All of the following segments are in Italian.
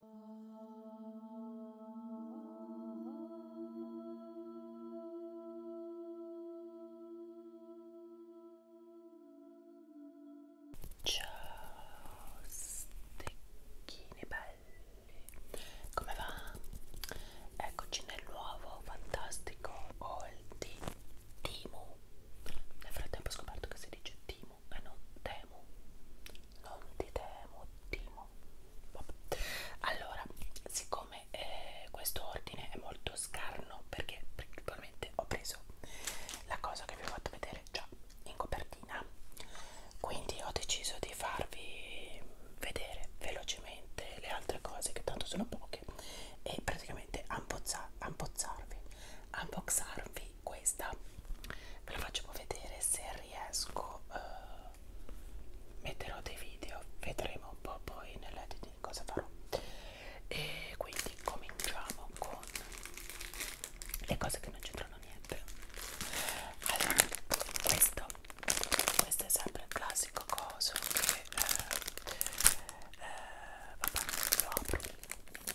Ciao stecchine belli, come va? Eccoci nel nuovo fantastico haul di Timu. Nel frattempo ho scoperto che si dice Timu temo e eh, non temo non ti temo timo Vabbè. allora siccome eh, questo ordine è molto scarno perché principalmente ho preso la cosa che vi ho fatto vedere già in copertina quindi ho deciso di farvi vedere velocemente le altre cose che tanto sono poche e praticamente unboxarvi unboxarvi poi questa ve la faccio vedere se riesco uh, metterò dei video vedremo un po' poi nell'editing cosa farò e quindi cominciamo con le cose che non c'entrano niente allora questo questo è sempre il classico coso che eh, eh, vabbè lo apro quelle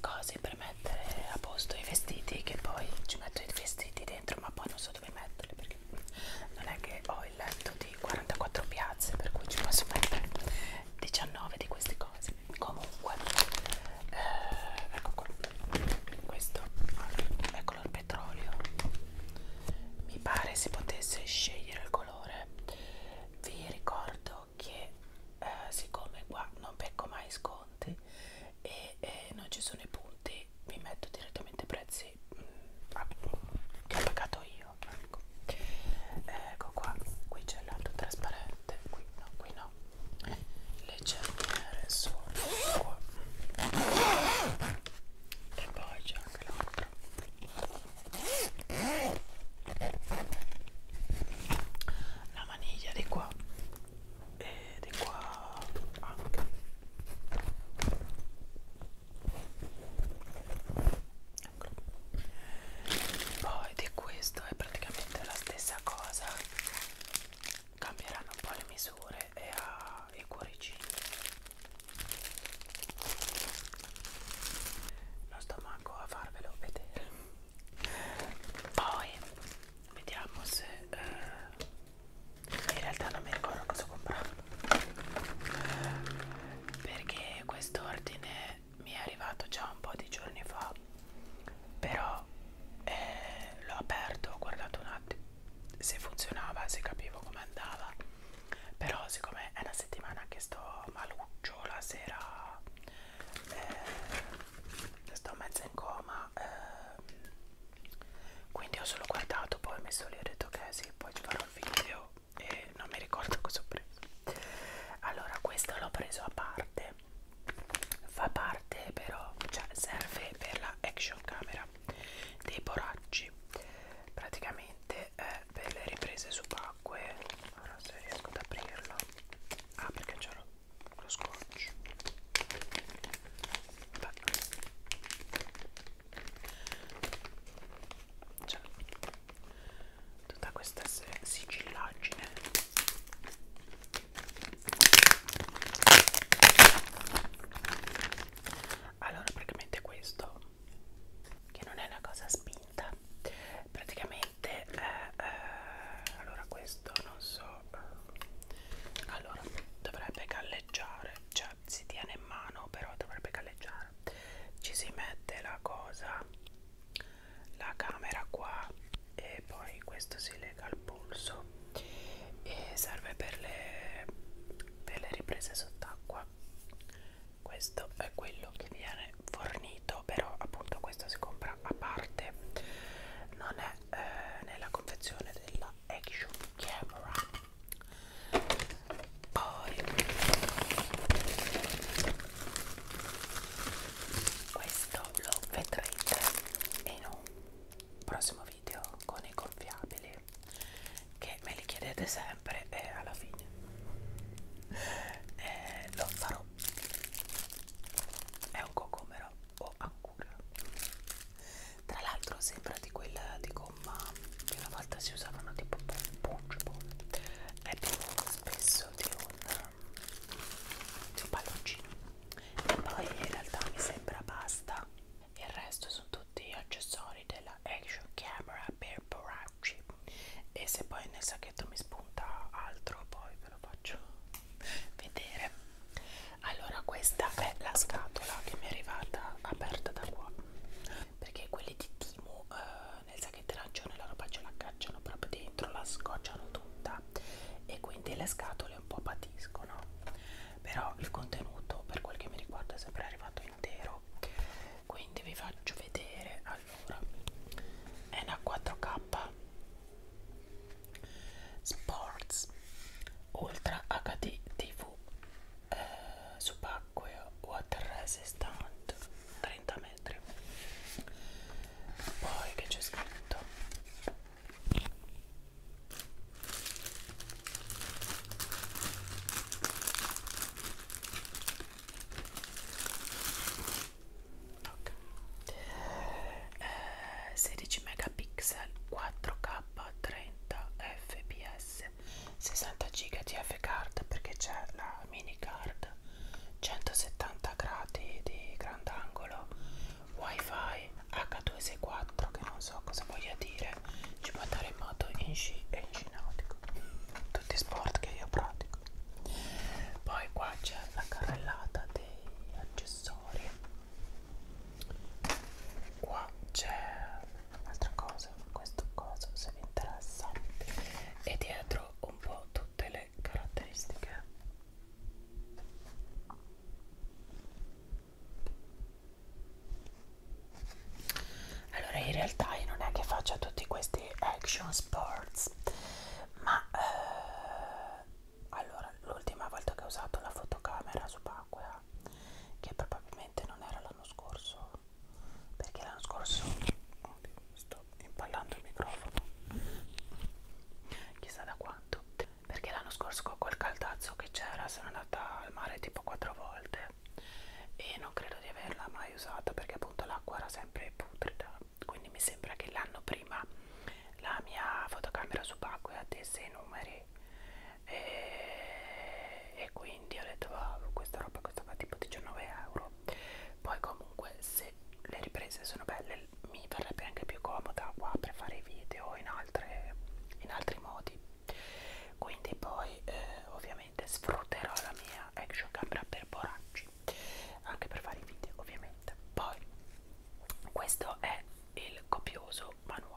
cose per mettere a posto i vestiti che poi ci metto i vestiti dentro ma poi non so dove metterli perché non è che ho il letto di 44 piazze per cui ci posso mettere 19 di queste cose comunque eh, ecco qua questo allora, è color ecco petrolio mi pare si potesse scegliere il colore vi ricordo che eh, siccome qua non becco mai sconti e, e non ci sono i punti vi metto direttamente i prezzi mh, mm, che ho pagato io nero ecco eh, ecco qua qui c'è l'altro trasparente qui no qui no le cerniere sono qua e poi c'è anche l'altro la maniglia di qua e di qua anche eccolo. Poi di questo è praticamente la stessa cosa, cambieranno un po' le misure e ha i cuoricini. Non sto manco a farvelo vedere. Poi vediamo se eh, in realtà non mi ricordo cosa ho comprato perché quest'ordine mi è arrivato già un po' di giorni fa però eh, l'ho aperto ho guardato un attimo se funzionava se capivo come andava però siccome è una settimana che sto maluccio la sera eh, sto mezzo in coma eh, quindi ho solo guardato poi mi sono detto che sì poi ci farò un video e non mi ricordo cosa ho preso allora questo l'ho preso a parte fa parte però cioè serve per la action camera dei boracci praticamente è eh, per le riprese subacquee ora se riesco ad aprirlo ah perché c'è lo scotch Beh cioè tutta questa sigillaggine allora praticamente questo che non è una cosa spinta praticamente eh, eh, allora questo non so allora dovrebbe galleggiare cioè si tiene in mano però dovrebbe galleggiare bar ci si mette la cosa la camera qua e poi questo si lega al polso e serve per le, per le riprese sott'acqua questo è quello che viene fornito però appunto questo si compra a parte non è eh, nella confezione della action camera poi questo lo vedrete in un prossimo video con i gonfiabili che me li chiedete sempre e alla fine e eh, lo farò è un cocomero o ancora tra l'altro sembra di quella di gomma che una volta si usavano tipo punchable è più spesso di un, di un palloncino e poi in realtà mi sembra basta il resto sono tutti accessori della action camera per poracci e se poi nel sacchetto mi spunta altro poi ve lo faccio vedere allora questa è la scatola che mi è arrivata aperta da qua perché quelli di Timo eh, nel sacchetto arancione la roba ce la cacciano proprio dentro, la scocciano tutta e quindi le scatole un po' patiscono. Però il contenuto per quel che mi riguarda è sempre arrivato intero. Quindi vi faccio vedere, allora, è una 4K Sports Ultra HD TV eh, subacqueo water resistant 30 metri poi che c'è scritto Okay. Eh, 16 megapixel 4K 30 fps S 60 GB TF card perché c'è la mini card 170 gradi di grandangolo wifi H264 che non so cosa voglia dire ci può andare in moto in sci e in cinautico tutti i sport che io pratico poi qua c'è la carrellata degli accessori qua c'è un'altra cosa questo coso se vi interessa e dietro un po' tutte le caratteristiche allora in realtà io non è che faccia tutti questi action sports ma eh, allora l'ultima volta che ho usato la fotocamera subacquea che probabilmente non era la l'anno scorso perché l'anno scorso oddio, sto impallando il microfono chissà da quanto perché l'anno scorso con quel caldazzo che c'era sono andata al mare tipo quattro volte e non credo di averla mai usata perché appunto l'acqua era sempre putrida quindi mi sembra che l'anno prima la mia fotocamera subacquea desse i numeri e, e qui quindi ho detto ah, questa roba costava tipo 19 euro poi comunque se le riprese sono belle mi verrebbe anche più comoda qua per fare video in, altre, in altri modi quindi poi eh, ovviamente sfrutterò la mia action camera per borracci anche per fare i video ovviamente poi questo è il copioso manuale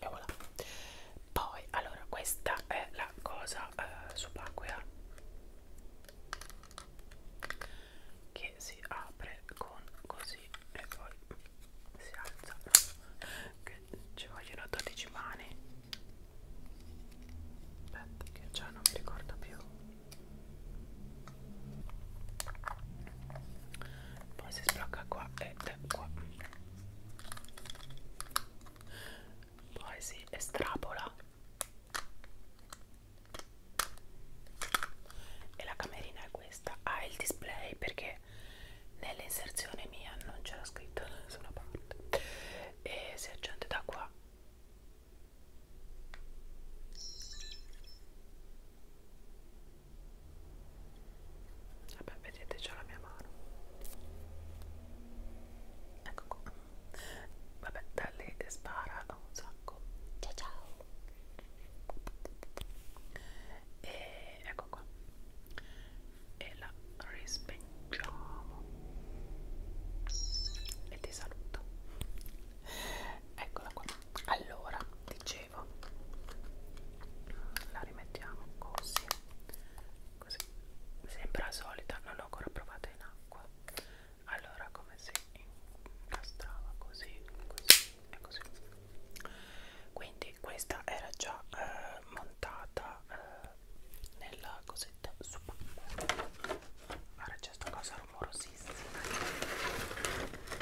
e voilà poi allora questa è la cosa eh, subacquea che si apre con così e poi si alza che ci vogliono 12 mani aspetta che già non mi ricordo più poi si sblocca qua e qua poi si estrapola e la camerina è questa ha ah, il display perché nell'inserzione mia non c'era scritto da nessuna parte e si accende da qua vabbè vedete c'è la mia mano ecco qua vabbè da lì spara un sacco ciao ciao e ecco qua e la rispeggiamo e ti saluto eccola qua allora dicevo dicevo la rimettiamo così così mi sembra solita non l'ho ancora provata in acqua allora come si incastrava così così e così quindi questa era già eh, montata eh, nella cosetta super guarda c'è sta cosa rumorosissima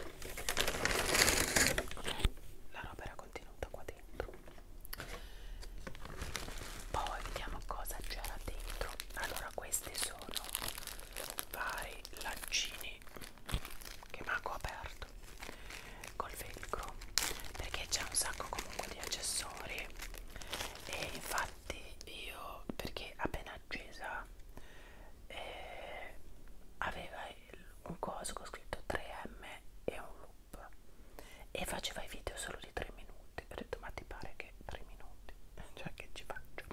ok la roba era contenuta qua dentro poi vediamo cosa c'era dentro allora queste sono vari lancini che manco aperto col velcro perché c'è un sacco comunque di accessori e infatti io perché appena accesa eh, aveva un coso con scritto 3M e un loop e faceva i video solo di 3 minuti ho detto ma ti pare che 3 minuti cioè che ci faccio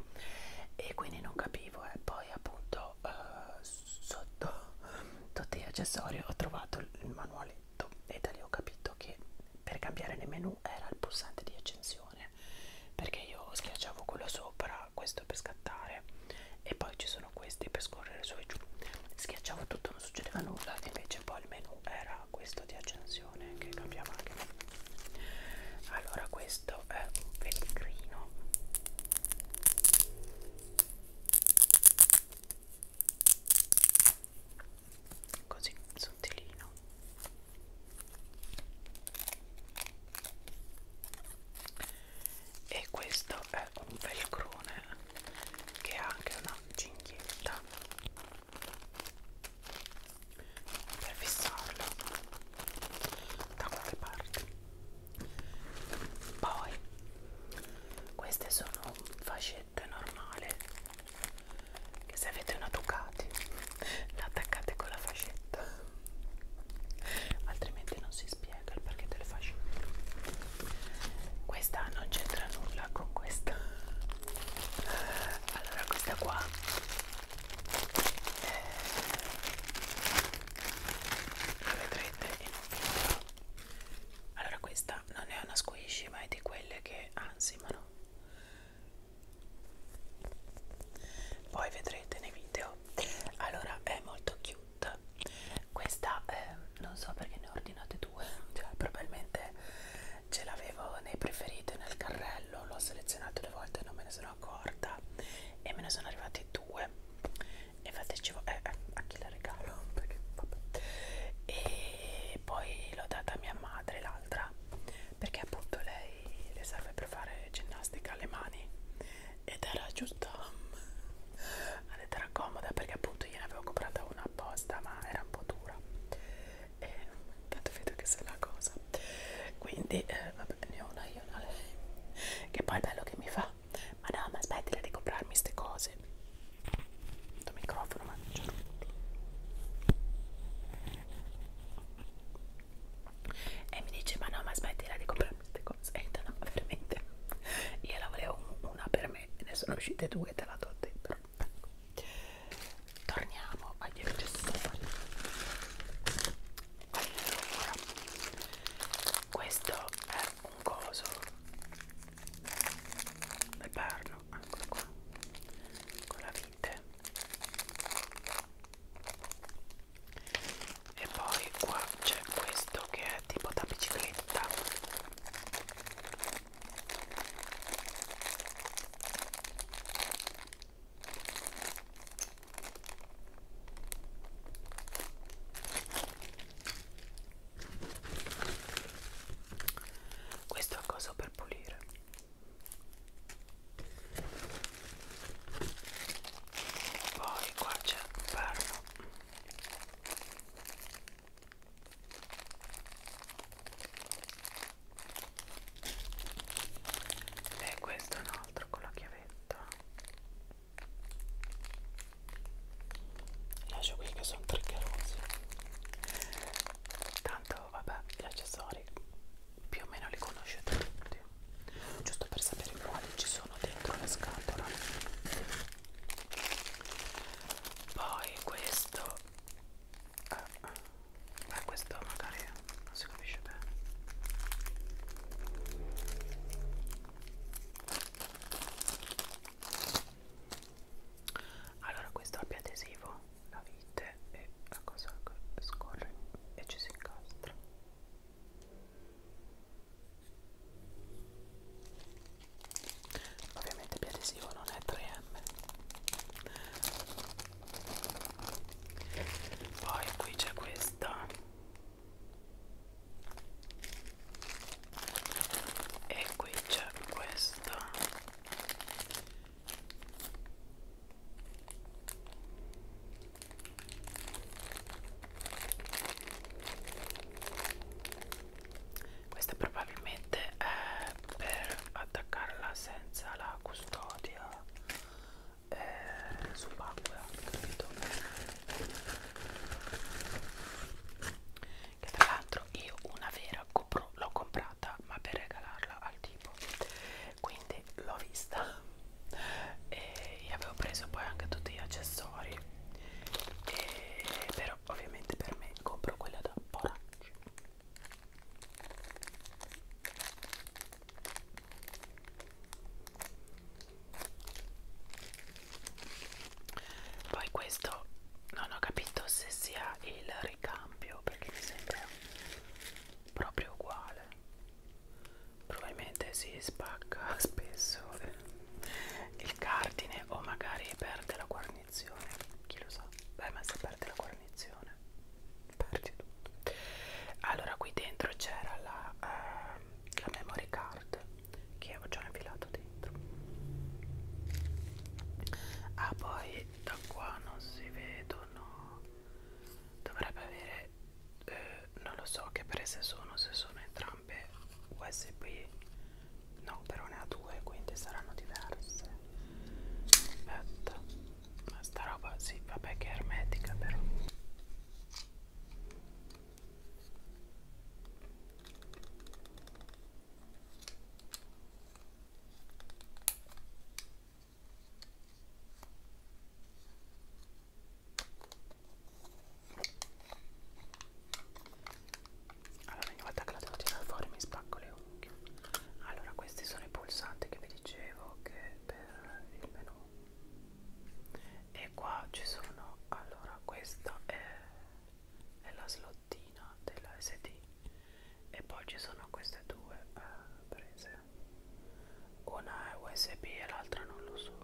e quindi non capivo e eh. poi appunto eh, sotto tutti gli accessori ho trovato il manualetto e da lì ho capito che per cambiare le menu era il pulsante di accensione perché io schiacciavo quello sopra scattare questo per scattare e poi ci sono questi per scorrere su e giù schiacciavo tutto non succedeva nulla invece poi il menu era questo di accensione che cambiava anche allora questo è un velcrino così sottilino e questo è un velcrone che ha anche una cinghietta per fissarlo da qualche parte poi queste sono fascette normali che se avete una Ducati la attaccate con la fascetta altrimenti non si spiega il perché te le faccio questa non c'entra nulla con questa allora questa qua eh, la vedrete in un video allora questa non è una squishy ma è di quelle che ansimano poi vedrete nei video allora è molto cute questa eh, non so perché ne ho ordinate due cioè, probabilmente ce l'avevo nei preferiti nel carrello l'ho selezionato due volte non me ne sono accorta e me ne sono arrivati due e fateci eh, eh, a chi la regalo perché vabbè e poi l'ho data a mia madre l'altra perché appunto lei le serve per fare ginnastica alle mani ed era giusto mm, ed era comoda perché appunto gliene avevo comprata una apposta ma era un po' dura e tanto vedo che se la cosa quindi eh, vabbè ne ho una io una lei che poi è bello che mi fa ma no ma aspettila di comprarmi queste cose il microfono ma non c'è e mi dice ma no ma smettila di comprare queste cose e no veramente io la volevo una per me ne sono uscite due te la do dentro torniamo agli accessori allora questo è un coso del perno ancora qua con la vite e poi qua c'è questo che è tipo da bicicletta questo è cosa per pulire poi qua c'è un perno e questo è un altro con la chiavetta lascio qui che sono triggerosi tanto vabbè gli accessori più o meno li conoscete tutti giusto per sapere quali ci sono dentro la scatola poi questo ah, ah, questo magari non si capisce bene allora questo abbia adesivo la vite e la cosa scorre e ci si incastra Ovviamente Biadesivo non è 3M. Poi qui c'è questa. E qui c'è questa. Questa probabilmente è per attaccarla senza la custodia eh, subacquea, capito? Che tra l'altro io una vera l'ho comprata ma per regalarla al tipo, quindi l'ho vista e io avevo preso poi anche tutti gli accessori e, però ovviamente per me compro quella da Poracci poi questo non ho capito se sia il ricambio perché mi sembra proprio uguale probabilmente si spacca spesso il cardine o magari perde la guarnizione chi lo sa beh ma se perde la guarnizione perdi tutto allora qui dentro c'era la, uh, la memory card che ho già infilato dentro ah poi da qua non si vedono dovrebbe avere eh, non lo so che prese sono se sono entrambe usb no però ne ha due quindi saranno diverse aspetta ma sta roba sì vabbè che è ermetica però allora ogni volta che la devo tirare fuori mi spacco le unghie. Allora questi sono i pulsanti che vi dicevo che per il menu. E qua ci sono, allora questa è, è la slottina della SD e poi ci sono queste due eh, prese una è usb e l'altra non lo so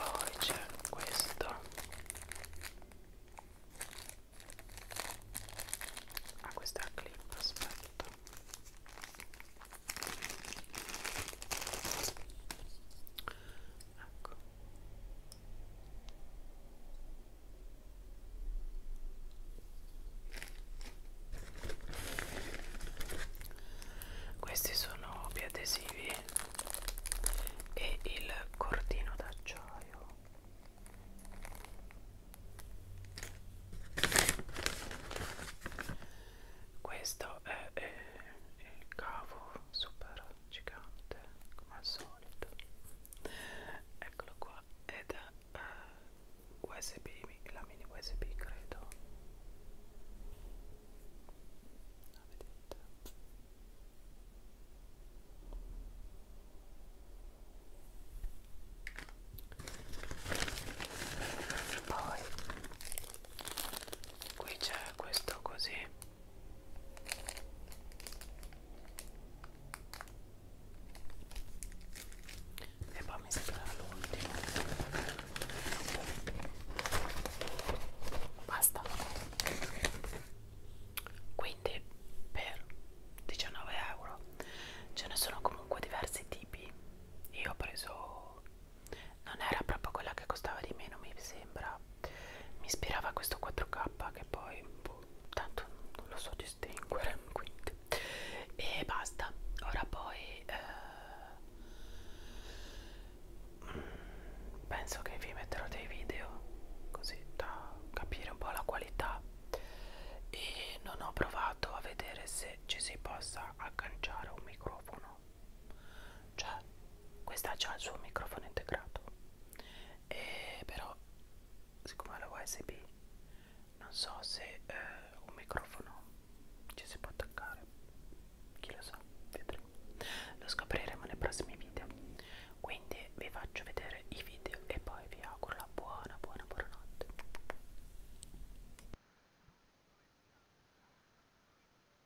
poi c'è questo ah questa è la clip aspetta ecco questi sono biadesivi e il cordino d'acciaio. Questo è eh, il cavo super gigante come al solito eccolo qua ed è uh, eh, usb la mini usb credo la vedete poi qui c'è questo così e poi mi sembra l'ultimo basta quindi per 19 euro ce ne sono comunque diversi tipi io ho preso non era proprio quella che costava di meno mi sembra mi ispirava questo 4K che poi boh, tanto non lo so distinguere quindi e basta ora poi eh, penso che vi metterò dei video così da capire un po' la qualità e non ho provato a vedere se ci si possa agganciare un microfono cioè questa ha già il suo microfono integrato e eh, però siccome la USB non so se eh, un microfono ci si può attaccare chi lo sa vedremo lo scopriremo nei prossimi video quindi vi faccio vedere i video e poi vi auguro la buona buona buona notte